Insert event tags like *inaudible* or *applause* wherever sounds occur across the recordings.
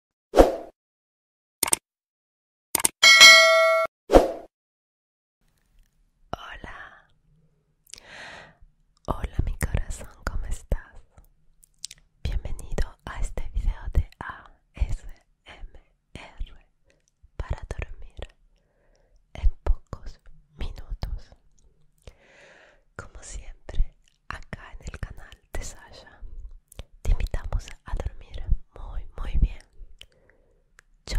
Hola, hola mi corazón, ¿cómo estás? Bienvenido a este video de ASMR para dormir en pocos minutos. Como siempre, acá en el canal de Sasha te invitamos a dormir muy muy bien yo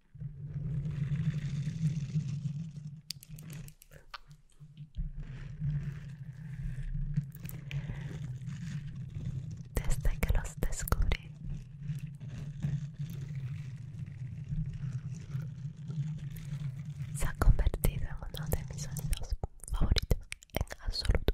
Desde que los descubrí, se ha convertido en uno de mis sonidos favoritos en absoluto.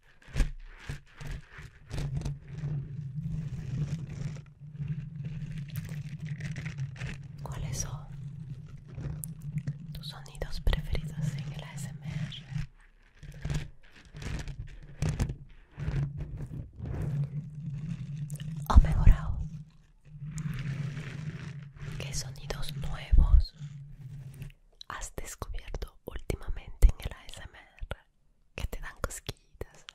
¿Cuáles son tus sonidos preferidos en el ASMR? ¿O mejorado? ¿Qué sonidos nuevos has descubierto últimamente en el ASMR? que te dan cosquillitas.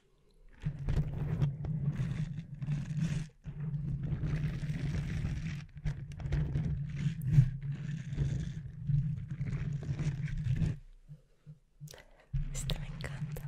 Este me encanta.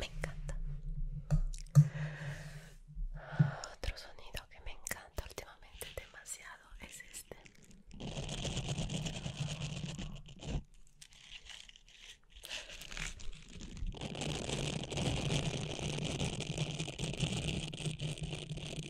Me encanta. Otro sonido que me encanta últimamente demasiado es este.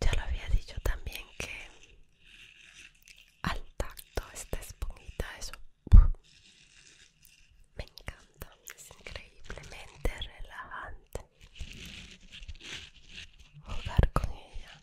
Ya lo había dicho también que al tacto esta esponjita Eso me encanta, es increíblemente relajante jugar con ella.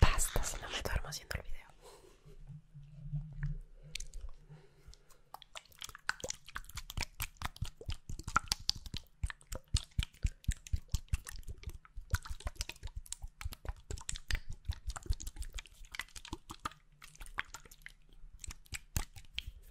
Basta, si no me duermo haciendo el video.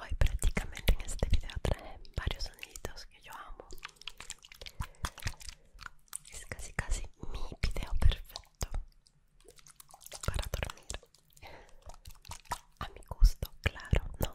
Hoy prácticamente en este video traje varios sonidos que yo amo scasi casi mi video perfetto para dormir a mi gusto claro no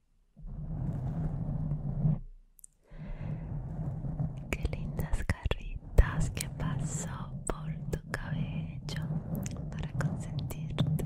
Qué lindas carritas que pasó por tu cabello para consentirte.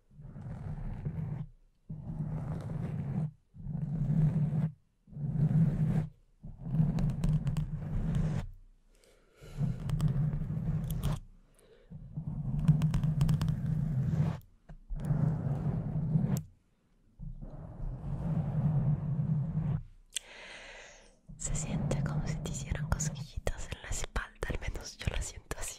Se siente como si te hicieran cosquillitas en la espalda, al menos yo la siento así.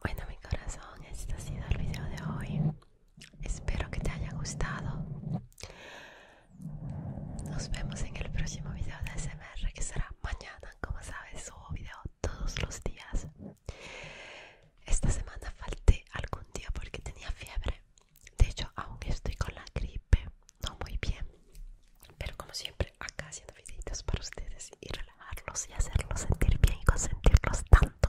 Bueno mi corazón, este ha sido el video de hoy. Espero que te haya gustado. Nos vemos en el próximo video de SMR que será mañana. Como sabes, subo video todos los días esta semana falté algún día porque tenía fiebre. De hecho, aunque estoy con la gripe, no muy bien. Pero como siempre, acá haciendo videitos para ustedes y relajarlos y hacerlos sentir bien y consentirlos tanto.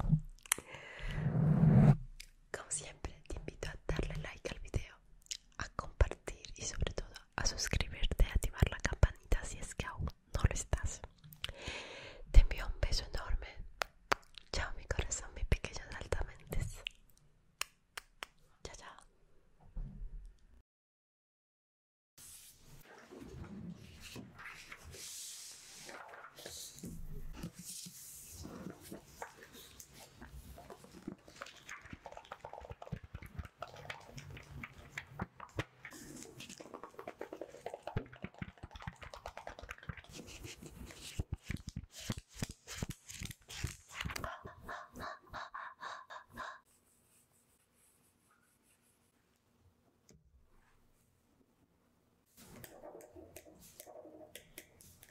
Como siempre, te invito a darle like al video, a compartir y sobre todo a suscribirte, Y activar la campanita si es que aún no lo estás. Te envío un beso enorme, Chao mi corazón, mi pequeños altamente. Chao,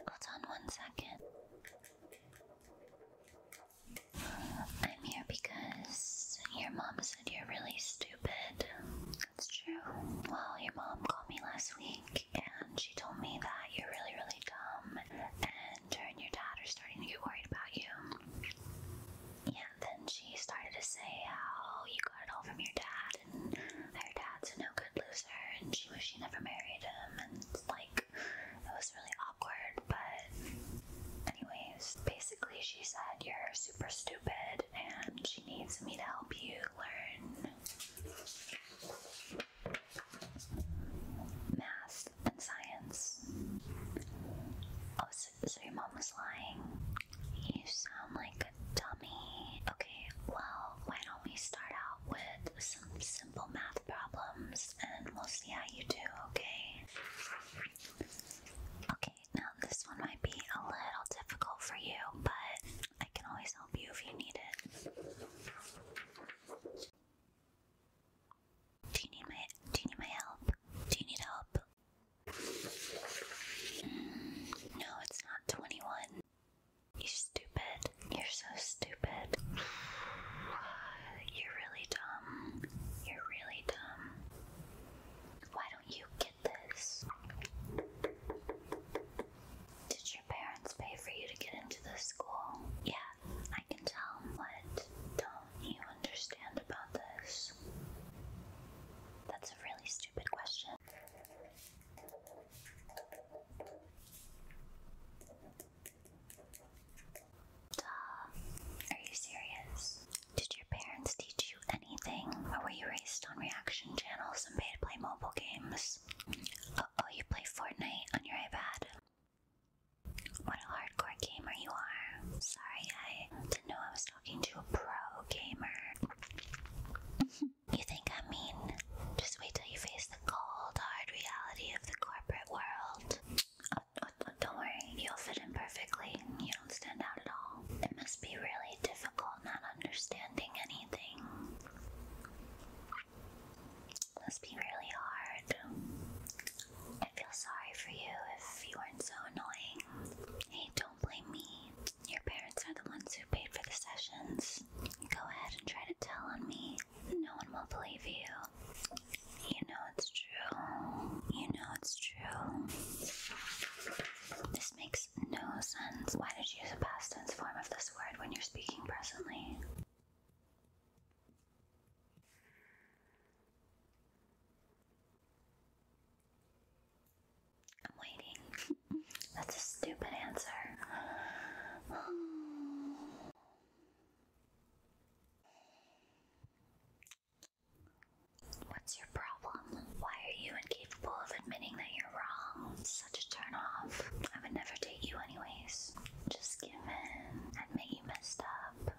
Hold on one second. I'm here because your mom said you're really stupid stupid. That's true. Well, your mom called me last week and she told me that you're really, really dumb and her and your dad are starting to get worried about you. Yeah, then she started to say how you got it all from your dad and her dad's a no good loser and she wished she never married him and like it was really awkward, but anyways, basically she said you're super stupid and she needs me to help you learn math and science. Oh, so, your mom was lying. You sound like a dummy. Okay, well, why don't we start out with some simple math problems and we'll see how you do, okay? Okay, now this one might be a little difficult for you, but I can always help you if you need it. Do you need my do you need my help? Do you need help? Mm, no, it's not 21. You're stupid. You're so stupid. *sighs* You're really dumb. You're really dumb. Why don't you get this? Did your parents pay for you to get into this school? Yeah, I can tell. What don't you understand about this? That's a really stupid question. Duh. Are you serious? Did your parents teach you? anything, or were you raised on reaction channels and made to play mobile games? oh, you play Fortnite on your iPad. What a hardcore gamer you are. Sorry, I didn't know I was talking to a pro gamer. *laughs* you think I'm mean? Just wait till you face the cold, hard reality of the corporate world. Oh, oh, oh, don't worry, you'll fit in perfectly. You don't stand out at all. It must be really difficult not understanding anything. Must be really hard. I feel sorry for you if you weren't so annoying. Hey, don't blame me. Your parents are the ones who paid for the sessions. Go ahead and try to tell on me. No one will believe you. You know it's true. You know it's true makes no sense. Why did you use a past tense form of this word when you're speaking presently? I'm waiting. *laughs* That's a stupid answer. What's your problem? Why are you incapable of admitting that you're wrong? such a turnoff. I would never date you anyways. Just give in. and make you messed up.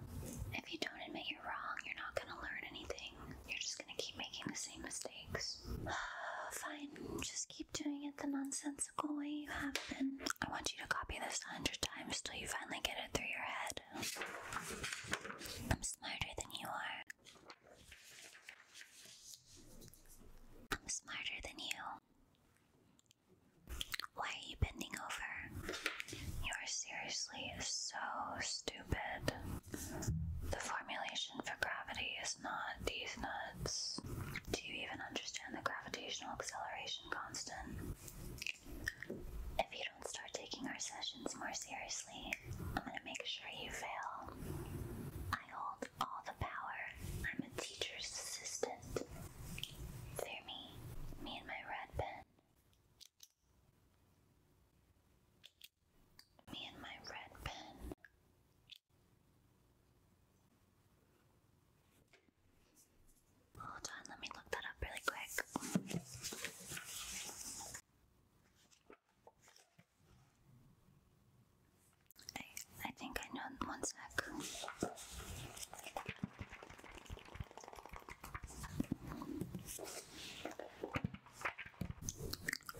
If you don't admit you're wrong, you're not gonna learn anything. You're just gonna keep making the same mistakes. *sighs* Fine, just keep doing it the nonsensical way you have been. I want you to copy this a hundred times till you finally get it through your head. I'm smarter than you are. I'm smarter than you. Why are you bending over? You are seriously so stupid. The formulation for gravity is not these nuts. Do you even understand the gravitational acceleration constant? If you don't start taking our sessions more seriously, I'm gonna make sure you fail. I hold all the power. I'm a teacher's assistant. Fear me, me and my red pen. Me and my red pen. Hold on, let me look that up really quick. I, think I know one sec.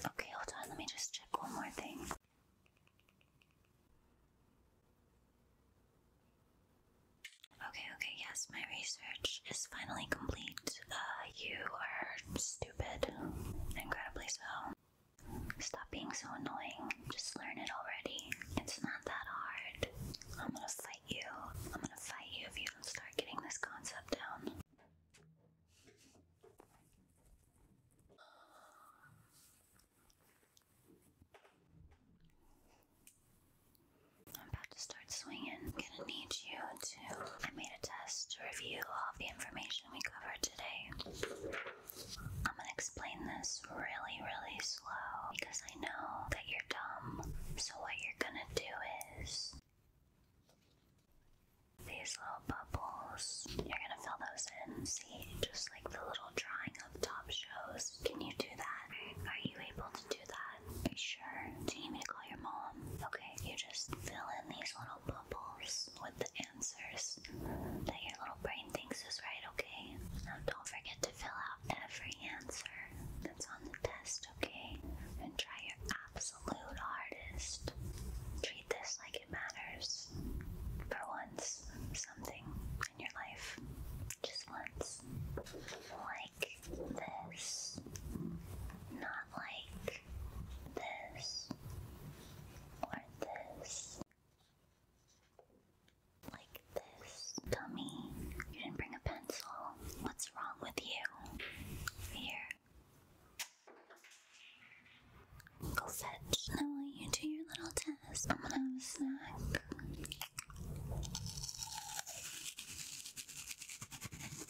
Okay, hold on, let me just check one more thing. Okay, okay, yes, my research is finally complete. Uh, you are stupid. Incredibly so. Stop being so annoying. Just learn it already. It's not that hard. I'm gonna fight you. I'm gonna fight you if you don't start getting this concept down. I'm about to start swinging. I'm gonna need you I made a test to review of the information we covered today. I'm gonna explain this really, really slow because I know that you're dumb. So, what you're gonna do is these little bubbles, you're gonna fill those in. See, just like the little drawing of top shows. Can you do that? Are you able to do that? Are you sure? Do you need me to your mom. Okay, you just fill in these little bubbles with the answers that your little brain thinks is right, okay? Now don't forget to fill out every answer that's on the test, okay? And try your absolute hardest. Treat this like it matters. For once, something in your life. Just once. Like this. Not like like this or this. Like this. Dummy, you didn't bring a pencil. What's wrong with you? Here. Go fetch. Now will you do your little test? I'm gonna have a snack.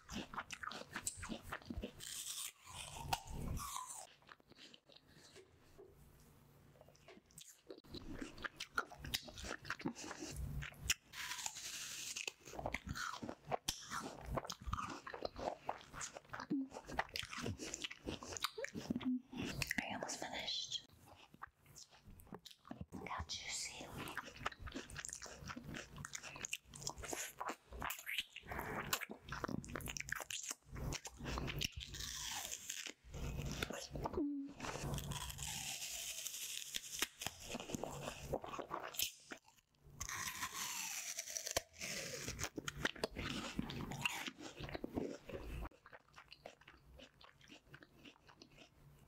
I almost finished. Can't you see?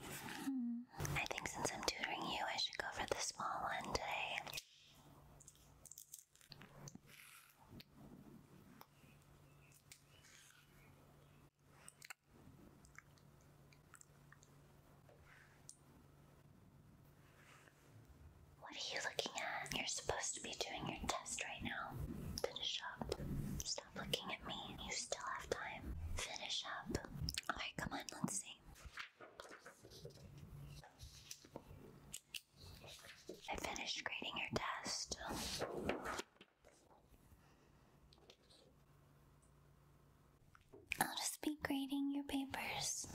I think since I'm tutoring you, I should go for the small one today. What are you looking at? You're supposed to be doing your test right now. To the shop. Stop looking you still have time. Finish up. Alright, come on, let's see. I finished grading your test. I'll just be grading your papers.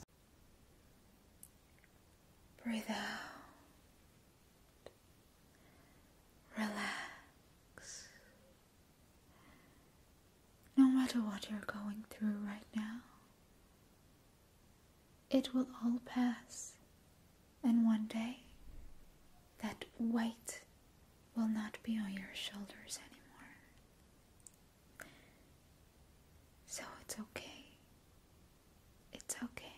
Breathe out. Relax. No matter what you're going through right now, it will all pass, and one day that weight will not be on your shoulders anymore. So it's okay. It's okay.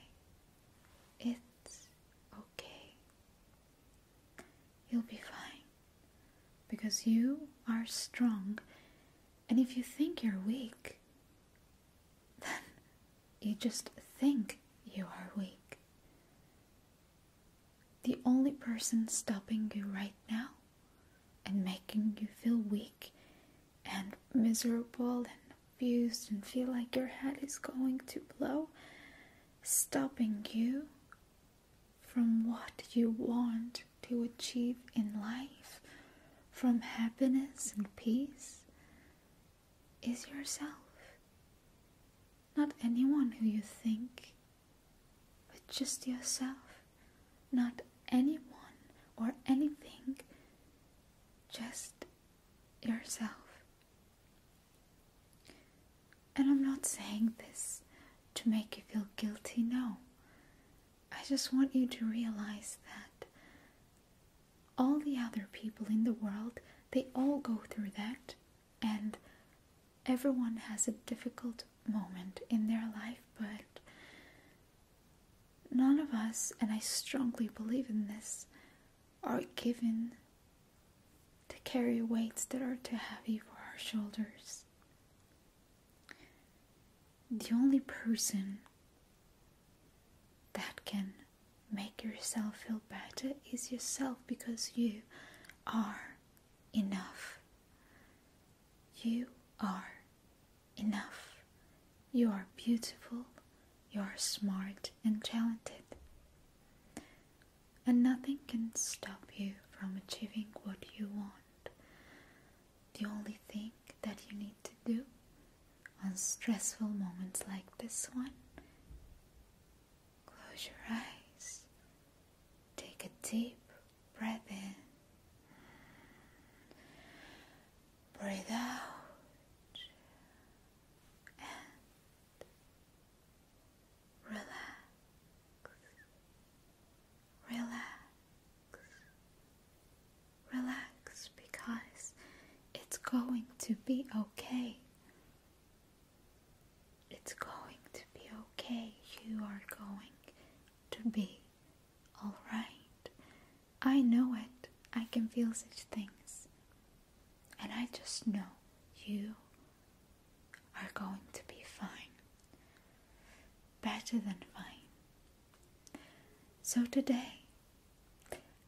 It's okay. You'll be fine because you are strong, and if you think you're weak, *laughs* then you just think you are weak. The only person stopping you right now and making you feel weak and miserable and abused and feel like your head is going to blow, stopping you from what you want to achieve in life, from happiness and peace, is yourself. Not anyone who you think, but just yourself. Not anyone or anything, just yourself. And I'm not saying this to make you feel guilty, no. I just want you to realize that all the other people in the world, they all go through that, and everyone has a difficult moment in their life, but none of us, and I strongly believe in this, are given to carry weights that are too heavy for our shoulders. The only person that can make yourself feel better is yourself because you are enough. You are enough. You are beautiful, you are smart and talented and nothing can stop you from achieving what you want. The only thing that you need to do on stressful moments like this one, close your eyes, take a deep breath in, breathe out, and relax, relax, relax because it's going to be okay. It's going to be okay. You are going to be alright. I know it. I can feel such things. And I just know you are going to be fine. Better than fine. So today,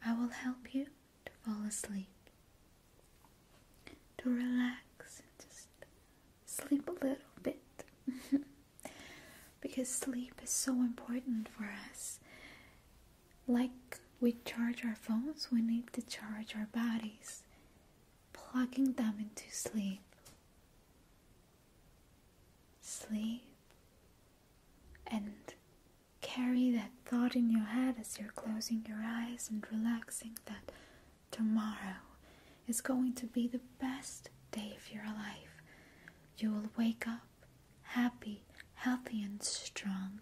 I will help you to fall asleep, to relax, and just sleep a little bit. *laughs* because sleep is so important for us. Like we charge our phones, we need to charge our bodies plugging them into sleep. Sleep and carry that thought in your head as you're closing your eyes and relaxing that tomorrow is going to be the best day of your life. You will wake up happy, healthy, and strong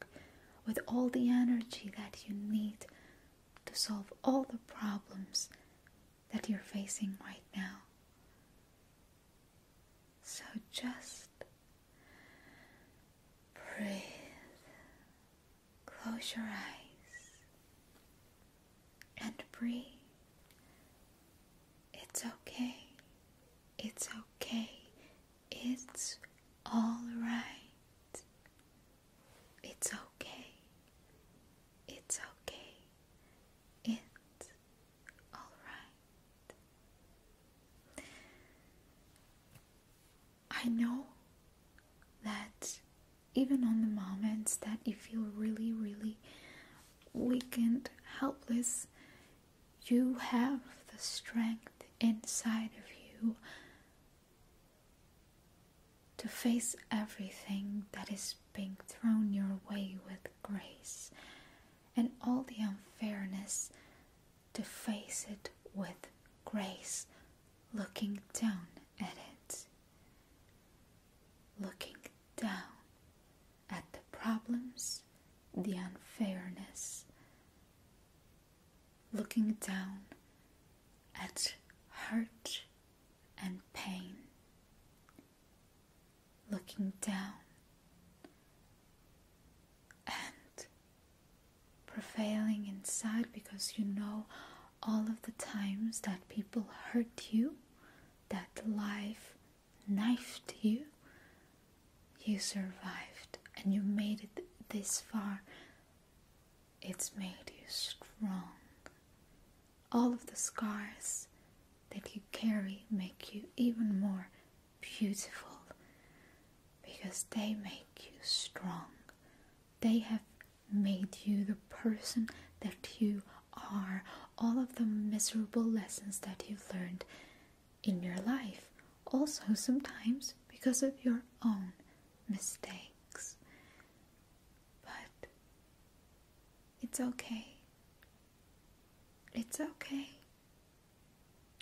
with all the energy that you need to solve all the problems that you're facing right now. So just breathe, close your eyes, and breathe. It's okay, it's okay, it's all right. It's okay. It's okay. It's alright. I know that even on the moments that you feel really, really weakened, helpless, you have the strength inside of you to face everything that is being thrown your way with grace and all the unfairness to face it with grace, looking down at it, looking down at the problems, the unfairness, looking down at hurt and pain, looking down and prevailing inside because you know all of the times that people hurt you, that life knifed you, you survived and you made it this far it's made you strong. All of the scars that you carry make you even more beautiful because they make you strong. They have made you the person that you are. All of the miserable lessons that you've learned in your life, also sometimes because of your own mistakes, but it's okay. It's okay.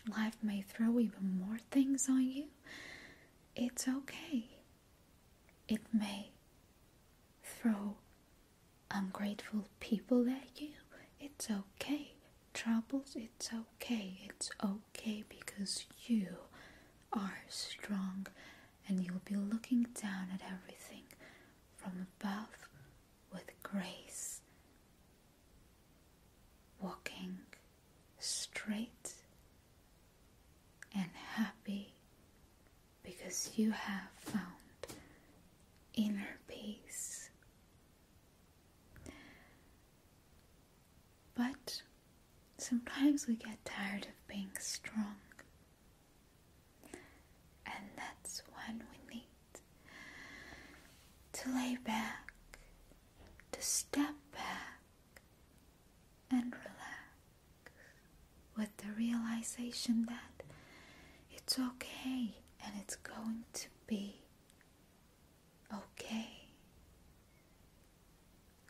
Life may throw even more things on you. It's okay. It may throw ungrateful people at you. It's okay. Troubles, it's okay. It's okay okay because you are strong and you'll be looking down at everything from above with grace, walking straight and happy because you have found inner peace. But sometimes we get tired of being strong. And that's when we need to lay back, to step back, and relax with the realization that it's okay and it's going to be okay.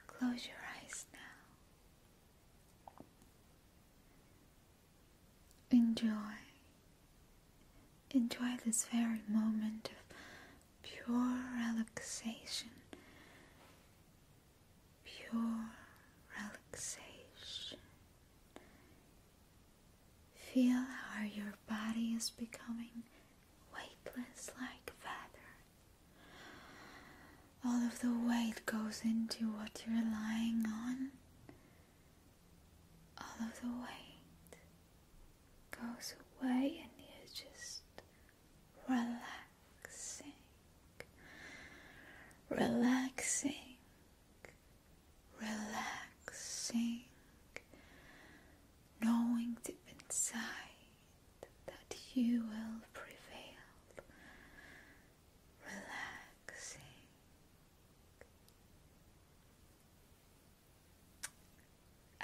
Close your eyes now. Enjoy. Enjoy this very moment of pure relaxation. Pure relaxation. Feel how your body is becoming weightless like feather. All of the weight goes into what you're lying on. All of the weight goes away, and you're just relaxing, relaxing, relaxing, knowing deep inside that you will prevail, relaxing.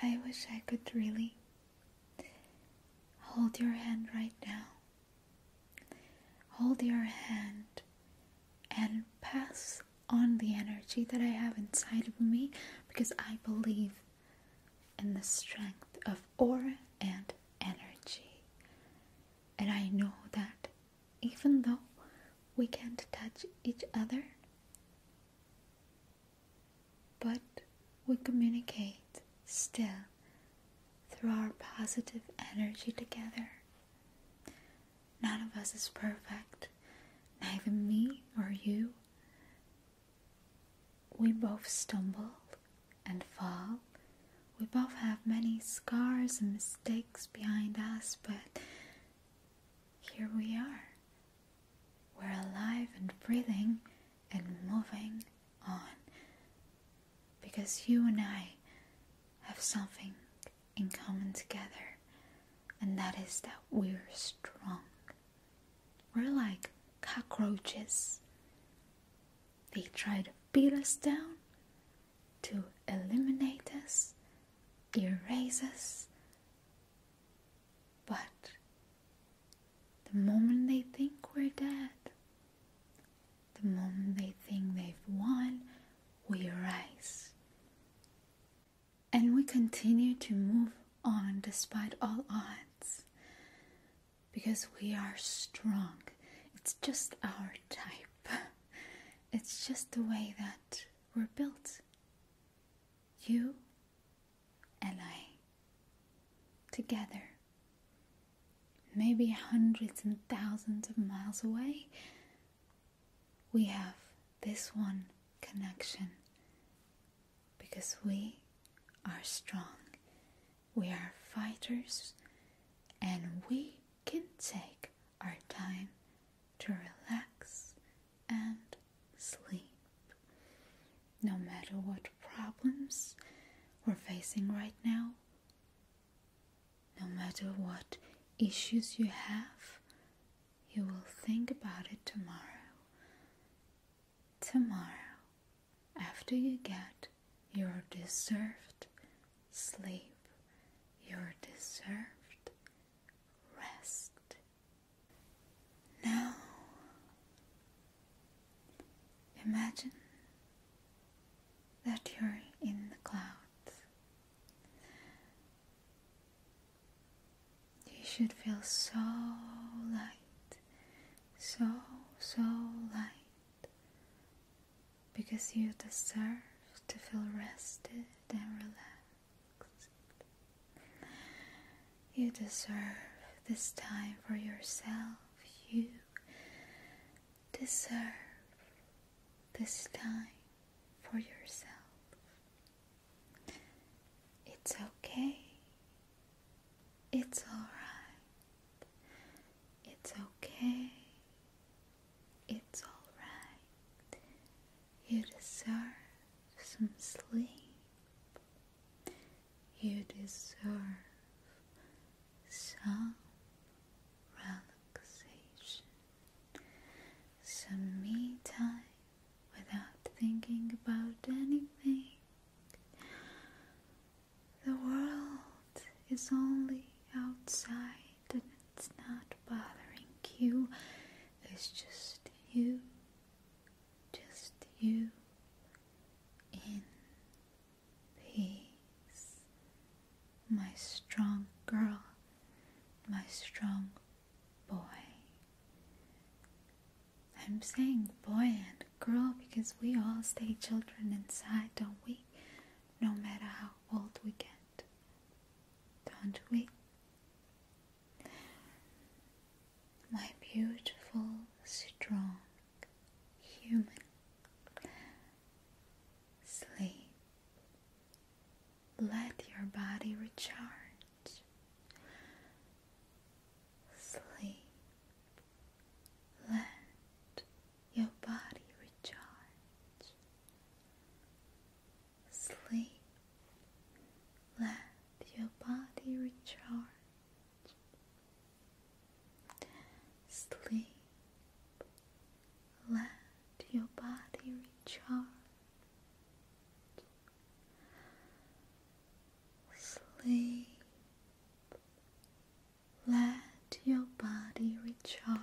I wish I could really hold your hand right now. Hold your hand and pass on the energy that I have inside of me because I believe and the strength of aura and energy. And I know that even though we can't touch each other, but we communicate still through our positive energy together. None of us is perfect, neither me or you, we both stumble and fall. We both have many scars and mistakes behind us, but here we are. We're alive and breathing and moving on. Because you and I have something in common together, and that is that we're strong. We're like cockroaches. They tried to beat us down, to eliminate us, erase us. But the moment they think we're dead, the moment they think they've won, we rise and we continue to move on despite all odds because we are strong. It's just our type, *laughs* it's just the way that we're built. You and I together, maybe hundreds and thousands of miles away, we have this one connection because we are strong. We are fighters and we can take our time to relax and sleep. No matter what problems we're facing right now, no matter what issues you have, you will think about it tomorrow tomorrow after you get your deserved sleep, your deserved rest. Now, imagine that you're in the clouds you should feel so light, so, so light, because you deserve to feel rested and relaxed. You deserve this time for yourself. You deserve this time for yourself. It's okay. It's alright. It's okay. It's alright. You deserve some sleep. You deserve some relaxation, some me time without thinking about anything. The world is only outside and it's not bothering you. It's just you, just you in peace. My strong girl, my strong boy. I'm saying boy and girl because we all stay children inside, don't we? No matter how old we get. Don't we? My beautiful, strong human. Sleep. Let your body recharge. Sleep. Let your body recharge. Sleep. Let your body recharge. Sleep. Let your body recharge. Sleep. Let your body recharge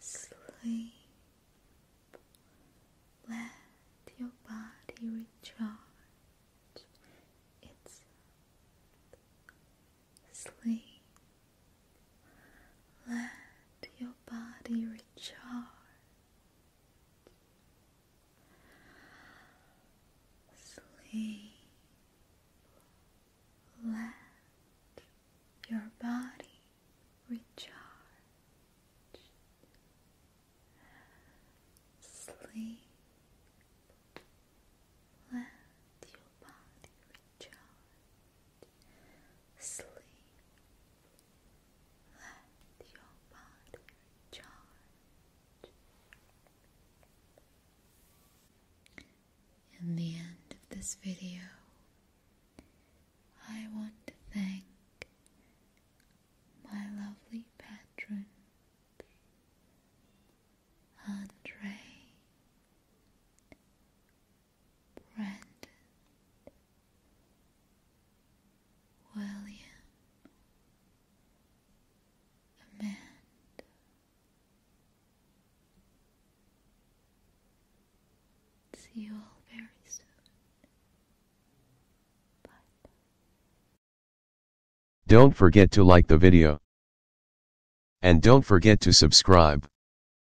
Sleep. Let your body recharge itself. Sleep. Let your body recharge. Sleep. Let your body recharge. Sleep. Let your body recharge. Sleep. Let your body charge. In the end of this video, I want to thank my lovely patron, Andre, Brandon William Amanda See you all very soon. Bye. Don't forget to like the video. And don't forget to subscribe.